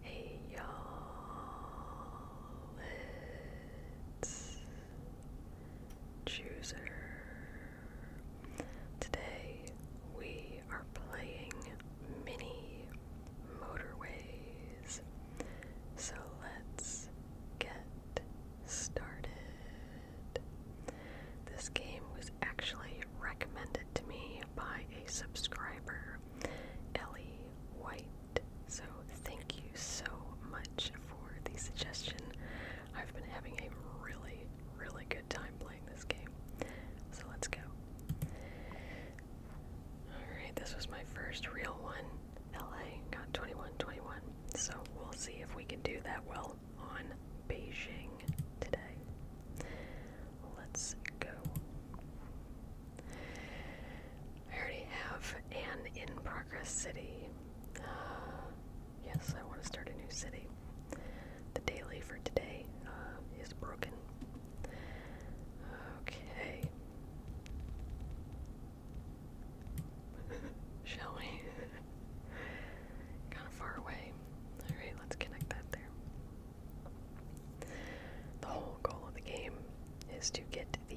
Hey y'all, it's Chooser. Today we are playing mini motorways. So let's get started. This game was actually recommended to me by a subscriber Ellie White. So thank you so much for the suggestion. I've been having a really, really good time playing this game. So let's go. Alright, this was my first real one. LA got 21 So we'll see if we can do that well on Beijing today. Let's go. I already have an in progress city. Uh, yes, I want to start a new city. The daily for today uh, is broken. Okay. Shall we? kind of far away. Alright, let's connect that there. The whole goal of the game is to get the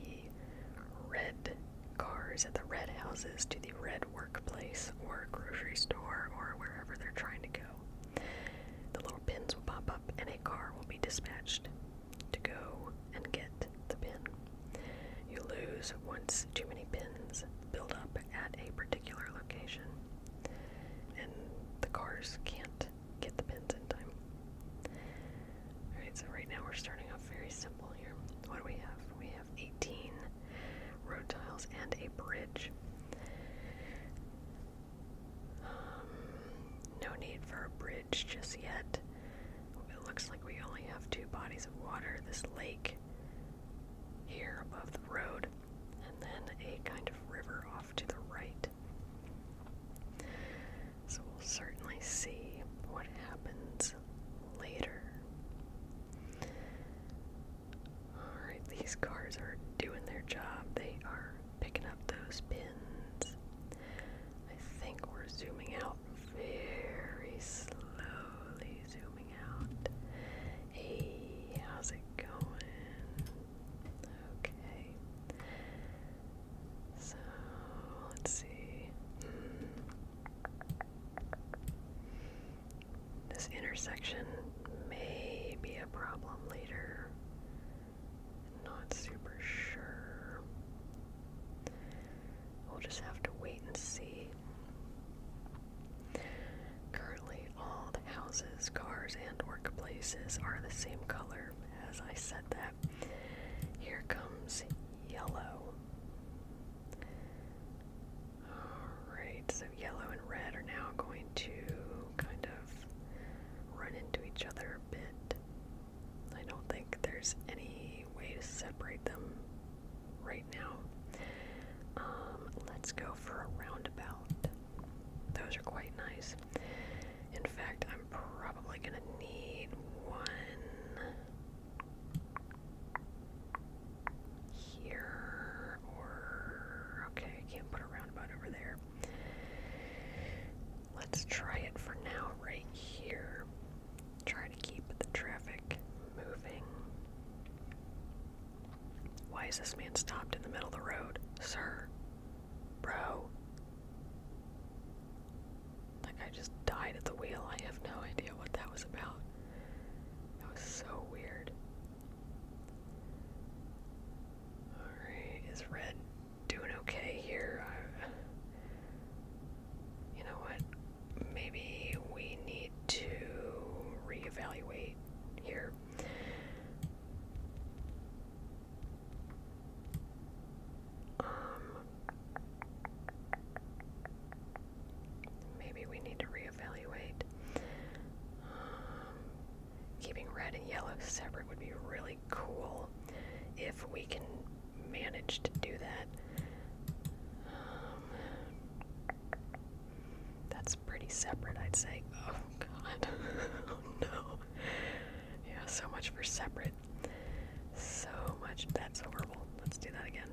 red cars at the red houses to the red workplace or grocery store or wherever they're trying to go. The little pins will pop up and a car will be dispatched to go and get the pin. You lose once too many pins build up at a particular location, and the cars can't get the pins in time. Alright, so right now we're starting off very simple here. What do we have? We have 18 road tiles and a bridge. Um, no need for a bridge just yet. It looks like we only have two bodies of water this lake here above the road, and then a kind of river off to the right. So we'll certainly see what happens later. Alright, these cars are doing their job. They are picking up those pins. I think we're zooming out very slowly. Zooming out. Hey, how's it going? Okay. So let's see. Hmm. This intersection may be a problem later. Not super sure. We'll just have to wait and see. Currently, all the houses, cars, and workplaces are the same color as I said that. Here comes yellow. Alright, so yellow and red are now going to kind of run into each other a bit. I don't think there's any way to separate them right now. Um, let's go for a roundabout. Those are quite nice. In fact, I'm probably going to need one here or okay, I can't put a roundabout over there. Let's try it for now right here. Try to keep the traffic moving. Why is this man stopped in the middle of the road? Sir, Bro. Like, I just died at the wheel. I have no idea what that was about. That was so weird. Alright, is Red doing okay here? you know what? Maybe we need to reevaluate here. Um, maybe we need to reevaluate. Um, keeping red and yellow separate would be really cool if we can manage to do that. Um, that's pretty separate, I'd say god. Oh, no. Yeah, so much for separate. So much. That's horrible. Let's do that again.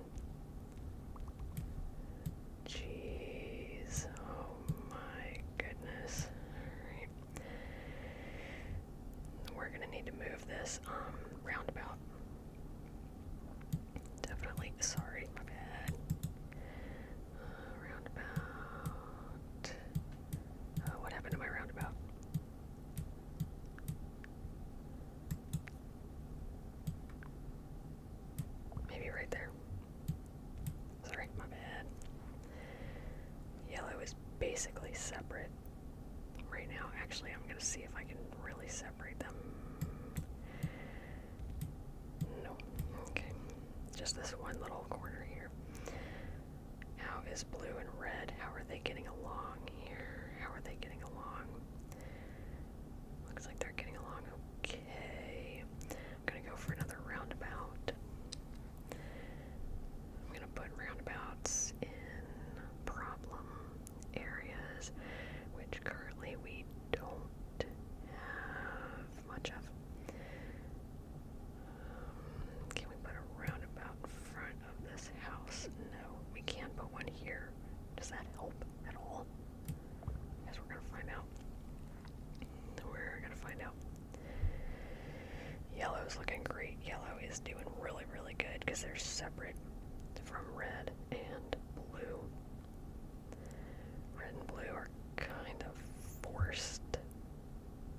Jeez. Oh my goodness. Alright. We're gonna need to move this um roundabout. Definitely sorry, my bad roundabout. Uh, what happened to my roundabout? Maybe right there. Sorry, my bad. Yellow is basically separate right now. Actually, I'm going to see if I can really separate them. No. Okay. Just this one little corner here. How is blue and red? How are they getting along here? How are they getting along? Looks like they're getting along okay. I'm gonna go for another roundabout. I'm gonna put roundabouts in problem areas, which currently we don't have much of. Um, can we put a roundabout front of this house? No, we can't put one here. Does that help at all? I guess we're gonna find out. We're gonna find out. Yellow's looking great. Yellow is doing really, really good because they're separate from red and blue. Red and blue are kind of forced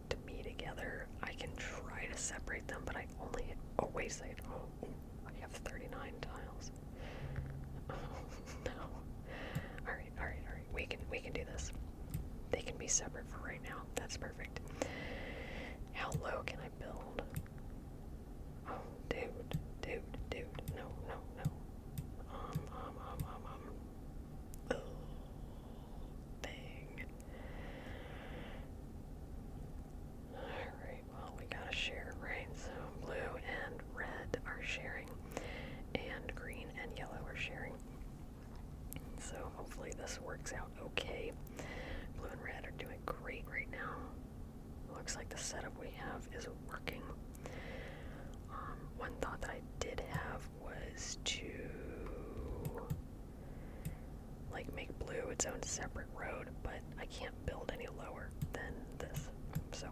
to be together. I can try to separate them, but I only oh wait a second. Oh, I have 39 tiles. no. Alright, alright, alright. We can we can do this. They can be separate for right now. That's perfect. How low can I build? Oh, dude, dude, dude. No, no, no. Um, um, um, um, um. Ooh, Alright, well, we gotta share, right? So blue and red are sharing, and green and yellow are sharing. So hopefully this works out okay. Blue and red are doing great right now. Looks like the setup we have is working. Um, one thought that I did have was to like make blue its own separate road, but I can't build any lower than this. So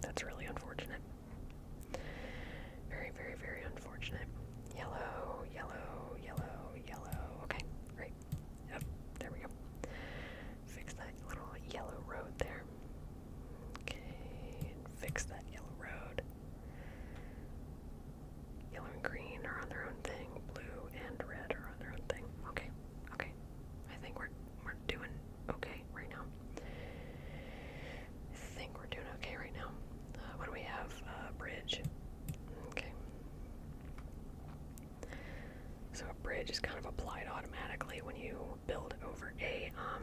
that's really unfortunate. Very, very, very unfortunate. Yellow, yellow, yellow, yellow. Okay, great. Yep, there we go. Fix that little yellow road there. Okay, fix that yellow road. Yellow and green are on their own thing. Blue and red are on their own thing. Okay, okay. I think we're we're doing okay right now. I think we're doing okay right now. Uh, what do we have? Uh, bridge. Okay. So a bridge is kind of applied automatically when you build over a um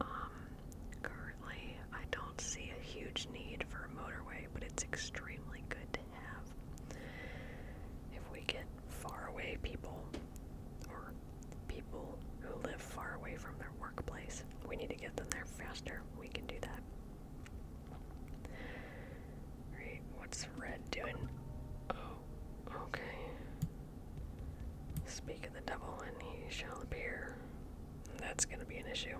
Um, currently, I don't see a huge need for a motorway, but it's extremely good to have. If we get far away people, or people who live far away from their workplace, we need to get them there faster. We can do that. Alright, what's red doing? Oh, okay. Speak of the devil and he shall appear. That's going to be an issue.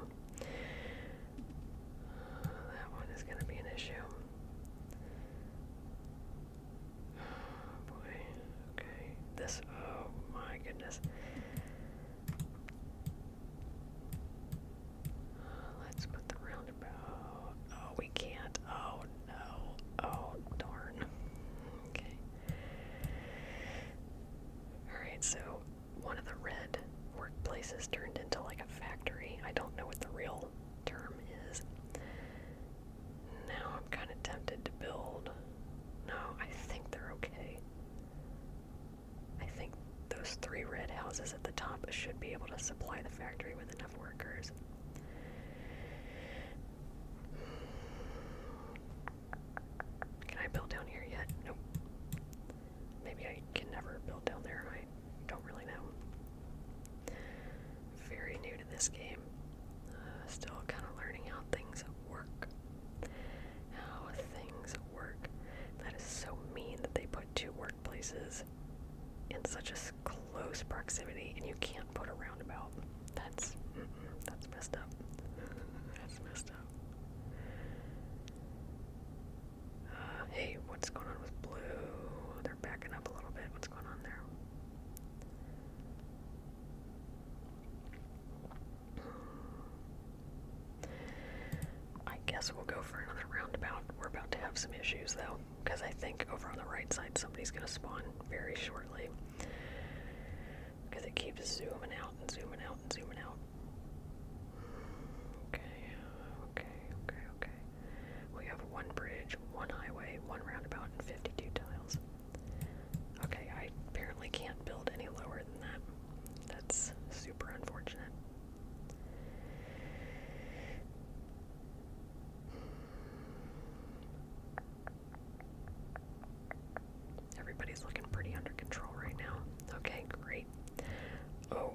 that one is going to be an issue. boy. Okay. This. Oh my goodness. let's put the roundabout. Oh, we can't. Oh no. Oh darn. Okay. Alright, so one of the red workplaces turned into like a factory. I don't know what the real term is. Now I'm kind of tempted to build. No, I think they're okay. I think those three red houses at the top should be able to supply the factory with enough workers. Can I build down here yet? Nope. Maybe I can never build down there. I don't really know. Very new to this game. Uh, still kind of learning how things work. How things work. That is so mean that they put two workplaces in such a close proximity and you can't put a roundabout. That's that's messed up. that's messed up. Uh, hey, what's going on with blue? They're backing up a little bit. What's going on there? I guess we'll go for another roundabout. We're about to have some issues though, because I think over on the right side somebody's going to spawn very shortly. Because it keeps zooming out and zooming out and zooming out. Okay, okay, okay, okay. We have one bridge, one highway, one roundabout, and 52 tiles. Okay, I apparently can't build any lower than that. That's super unfortunate. Everybody's looking pretty under control right now. Okay, great. Oh,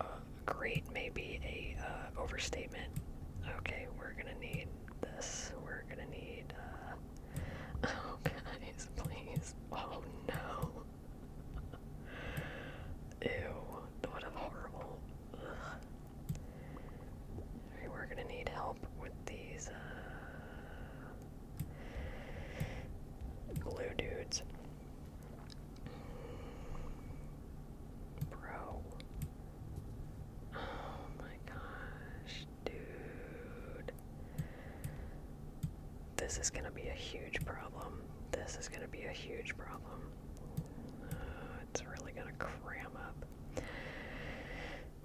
uh, great may a uh, overstatement. Okay, we're gonna need this. We're gonna need. Uh... Oh guys, please. Oh no. Ew. What a horrible. We're gonna need help with these blue uh, dudes. Bro. Oh my gosh, dude. This is gonna be a huge problem. This is gonna be a huge problem. Uh, it's really gonna cram up.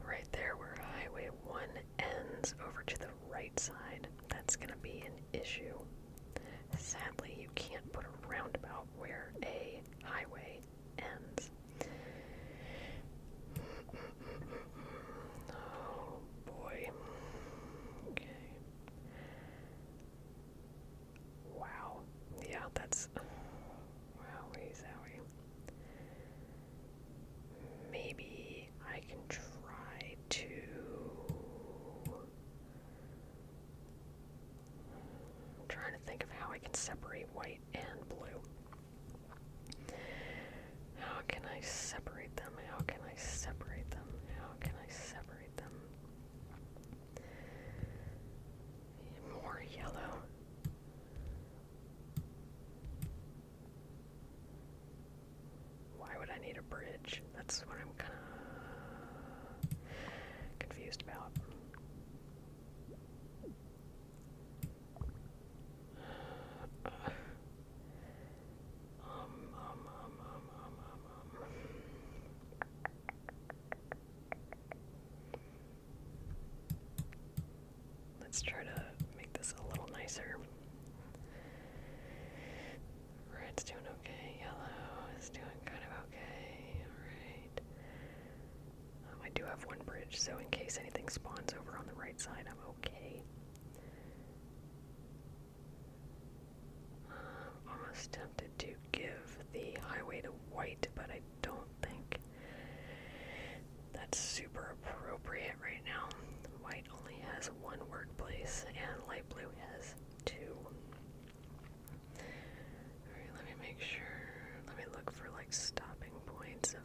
Right there, we Highway 1 ends over to the right side, that's going to be an issue. Sadly, you can't put a roundabout where a highway ends. Oh boy. Okay. Wow. Yeah, that's. Wow, wowie. Maybe I can try to. I'm trying to think of how I can separate white and blue. How can I separate them? How can I separate them? How can I separate them? More yellow. Why would I need a bridge? That's what I'm kind of confused about. Let's try to make this a little nicer. Red's doing okay. Yellow is doing kind of okay. Alright. Um, I do have one bridge, so in case anything spawns over on the right side, I'm okay. Um, almost tempted to give the highway to white, but I don't think that's super appropriate right now. White only has one workplace, and light blue has two. Alright, let me make sure. Let me look for like stopping points of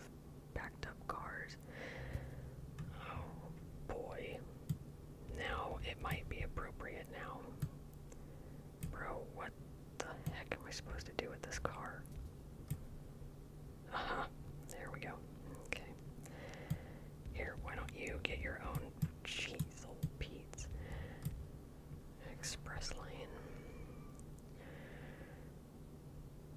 backed up cars. Oh boy. Now it might be appropriate now. Bro, what the heck am I supposed to do with this car? Uh There we go. Okay. Here, why don't you get your own cheese, old Pete's express lane?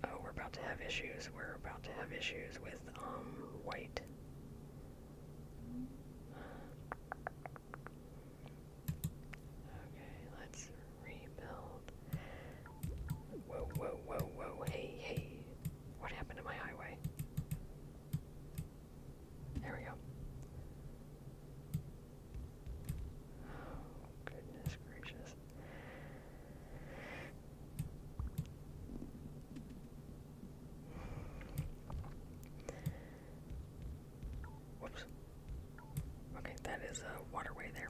Oh, we're about to have issues. We're about to have issues with um white. Okay, let's Rebuild. Whoa, whoa, whoa, whoa. Hey, hey. What happened to my highway? There we go. Oh, goodness gracious. Whoops. Okay, that is a waterway there.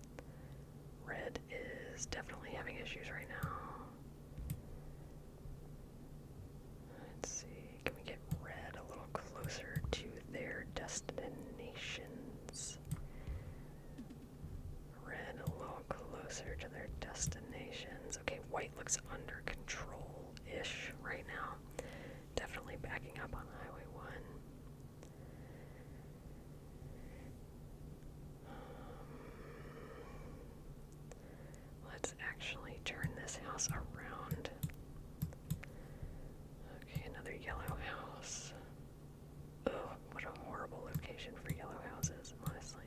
Red is definitely having issues right now. Let's see, can we get red a little closer to their destinations? Red a little closer to their destinations. Okay, white looks under control ish right now. Definitely backing up on Highway 1. Let's actually turn this house around. Okay, another yellow house. Oh, what a horrible location for yellow houses, honestly.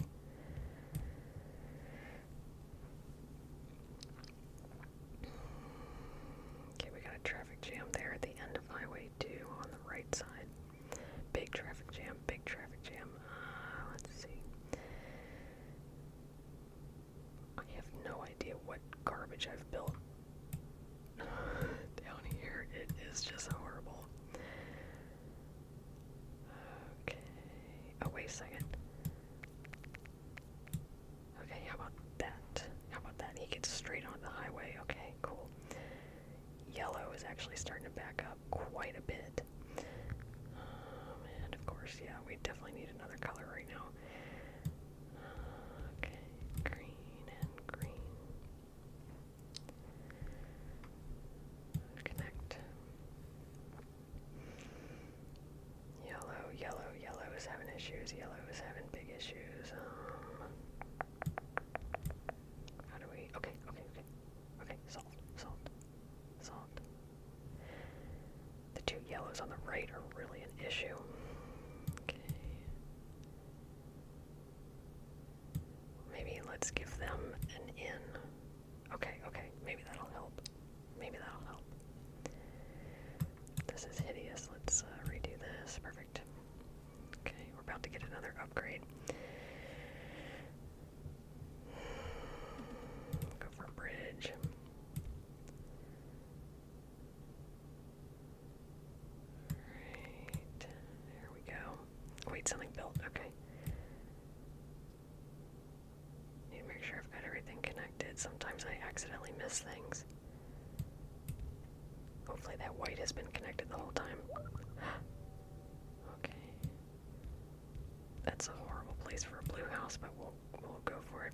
Okay, we got a traffic jam there at the end of Highway 22 on the right side. Big traffic jam, big traffic jam. Uh, let's see. I have no idea what garbage I've built down here. It is just horrible. Okay. Oh, wait a second. Okay, how about that? How about that? He gets straight on the highway. Okay, cool. Yellow is actually starting to back up quite a bit. Um, and of course, yeah, we definitely need another color right now. Uh, okay, green and green. Connect. Yellow, yellow, yellow is having issues. Yellow is having big issues. Um, how do we? Okay, okay, okay. Okay, solved, solved, solved. The two yellows on the right are really an issue. Okay. Maybe let's give them an in. Okay, okay, maybe that'll help. Maybe that'll help. This is hideous. Let's uh, redo this. Perfect. Okay, we're about to get another upgrade. go for a bridge. Alright, there we go. Wait, something built, okay. Need to make sure I've got everything connected. Sometimes I accidentally miss things. Hopefully that white has been connected the whole time. okay. That's a horrible place for a blue house, but we'll we'll go for it.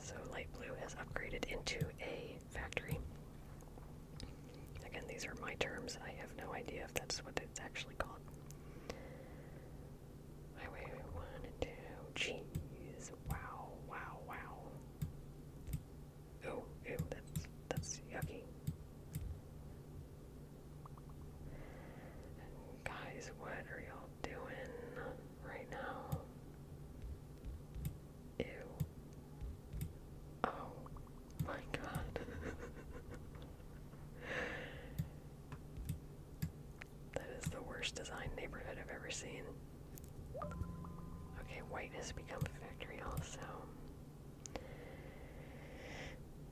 So light blue has upgraded into a factory. Again, these are my terms. I have no idea if that's what it's actually called. Highway one and two. Jeez. Wow, wow, wow. Oh, Ew, that's, that's yucky. Guys, what are y'all doing right now? Ew. Oh my god. that is the worst designed neighborhood I've ever seen. Okay, white has become a victory. also.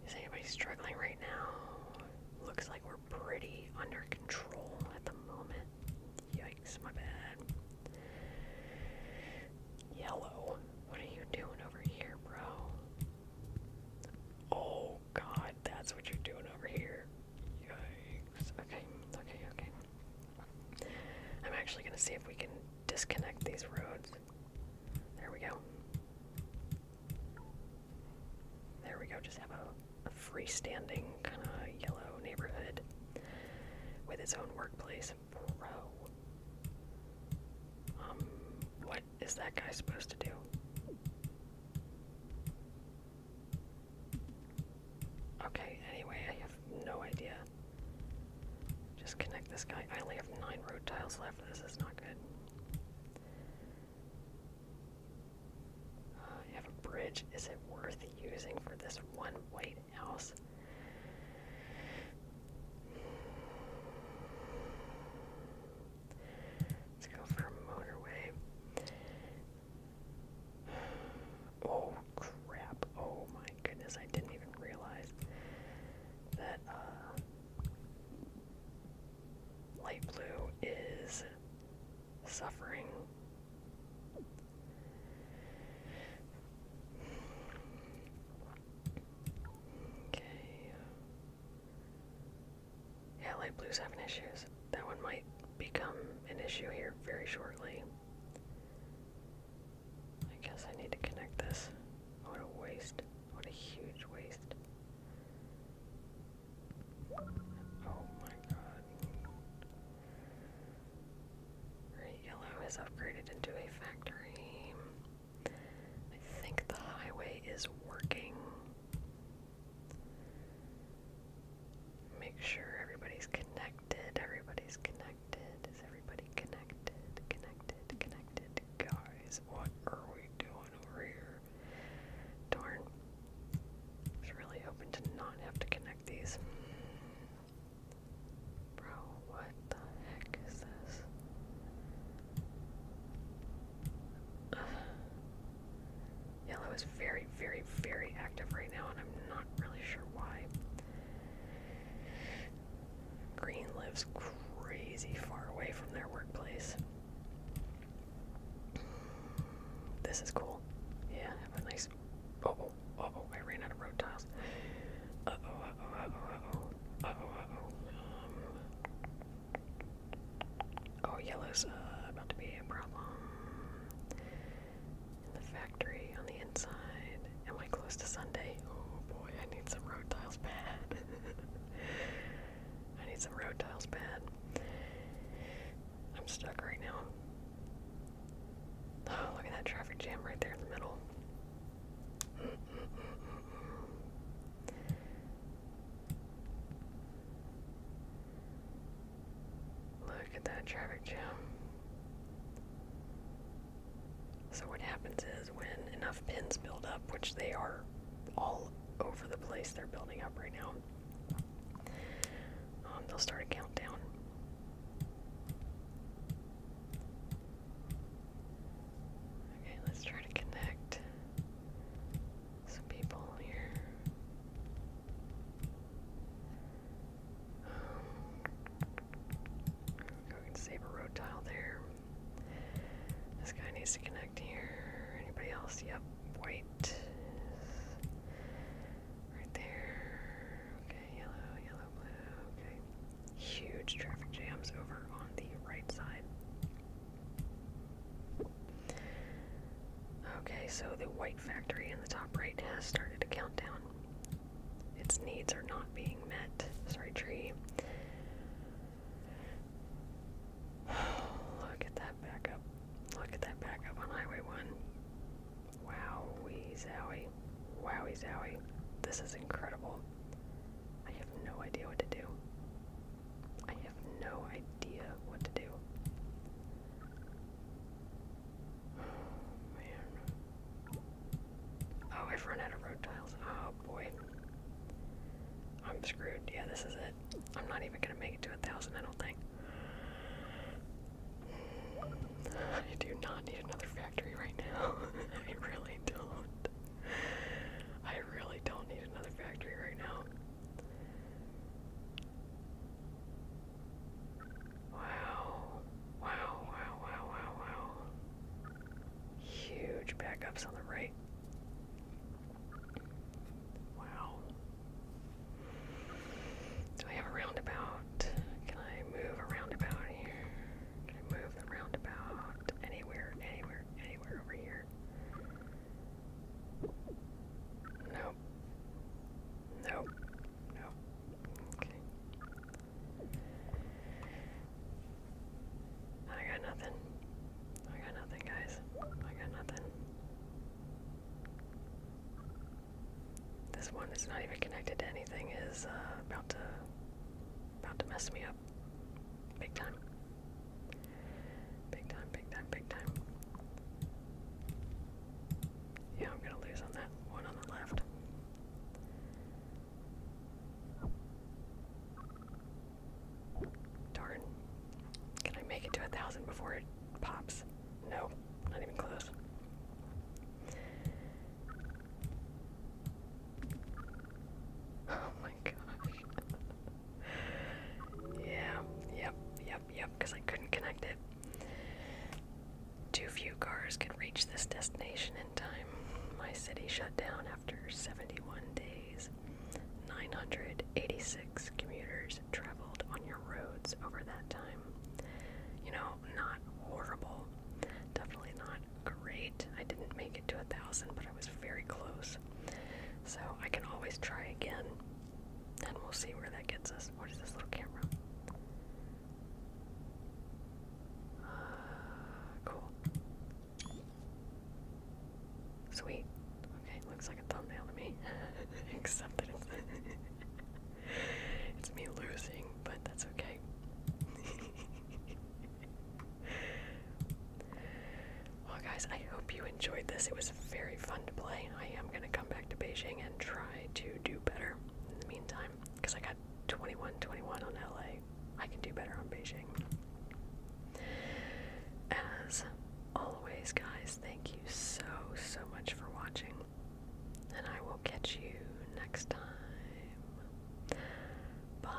Is anybody struggling right now? Looks like we're pretty under control at the moment. Yikes, my bad. Yellow, what are you doing over here, bro? Oh god, that's what you're doing over here. Yikes. Okay, okay, okay. I'm actually going to see if we can disconnect these roads. There we go. There we go. Just have a, freestanding kind of yellow neighborhood with its own workplace. Bro. Um, what is that guy supposed to do? Okay, anyway, I have no idea. Just connect this guy. I only have nine road tiles left. This is not good. I uh, have a bridge. Is it worth using for this one white house? Let's go for a motorway. Oh crap. Oh my goodness, I didn't even realize that uh light blue is suffering. Okay. Yeah, light blue's having issues. That one might become an issue here very shortly. I guess I need to connect this. What a waste. What a huge waste. Oh my god. Right, yellow is upgraded into a factory. I think the highway is working make sure everybody's connected. Everybody's connected. Is everybody connected? Connected, connected. Guys, what are we doing over here? Darn. was really hoping to not have to connect these. Bro, what the heck is this? Yellow is very very, very, active right now, and I'm not really sure why. Green lives crazy far away from their workplace. This is cool. Yeah, have a nice. Uh oh, oh, I ran out of road tiles. Uh oh, uh oh, uh oh, uh oh, uh oh, oh. oh, yellow's uh, about to be a problem in the factory on the inside. Am I close to Sunday? Oh boy, I need some road tiles bad. I need some road tiles bad. I'm stuck right now. Oh, look at that traffic jam right there in the middle. Look at that traffic jam. So, what happens is when enough pins build up, which they are all over the place, they're building up right now, um, they'll start a countdown. Okay, let's try to connect some people here. We can save a road tile there. This guy needs to connect here. Anybody else? Yep. White. Right there. Okay, yellow, yellow, blue. Okay. Huge traffic jams over on the right side. Okay, so the white factory in the top right has started a countdown. Its needs are not being met. Sorry, tree. Look at that backup. Look at that backup on Highway 1. Wowie zowie. Wowie zowie. This is incredible. I have no idea what to do. I have no idea what to do. Oh, man. Oh, I've run out of road tiles. Oh, boy. I'm screwed. Yeah, this is it. I'm not even gonna make it to a thousand, I don't think. I do not need another factory right now. I really don't. I really don't need another factory right now. Wow. Wow, wow, wow, wow, Huge backups on the right. Wow. Do I have a roundabout? Can I move a roundabout here? Can I move the roundabout anywhere, anywhere, anywhere over here? Nope. Nope. No. Okay. I got nothing. I got nothing, guys. I got nothing. This one that's not even connected to anything is uh, about to about to mess me up. Big time. Big time, big time, big time. Yeah, I'm gonna lose on that one on the left. Darn. Can I make it to a thousand before it pops? No, not even close. Oh my gosh. yeah, yep, yep, yep, because I couldn't connect it. Too few cars can reach this destination in time. My city shut down after 71 days. 986 commuters traveled on your roads over that time. You know, not horrible. Definitely not great. I didn't make it to a thousand, but I was very close. So I can always try again. And we'll see where that gets us. What is this little camera? cool. Sweet. Okay, looks like a thumbnail to me. Except that it's me losing, but that's okay. well, guys, I hope you enjoyed this. It was very fun to play. I am gonna come back to Beijing and try to do better in the meantime, because I got 21 21 on LA. I can do better on Beijing. As always, guys, thank you so, so much for watching, and I will catch you next time. Bye.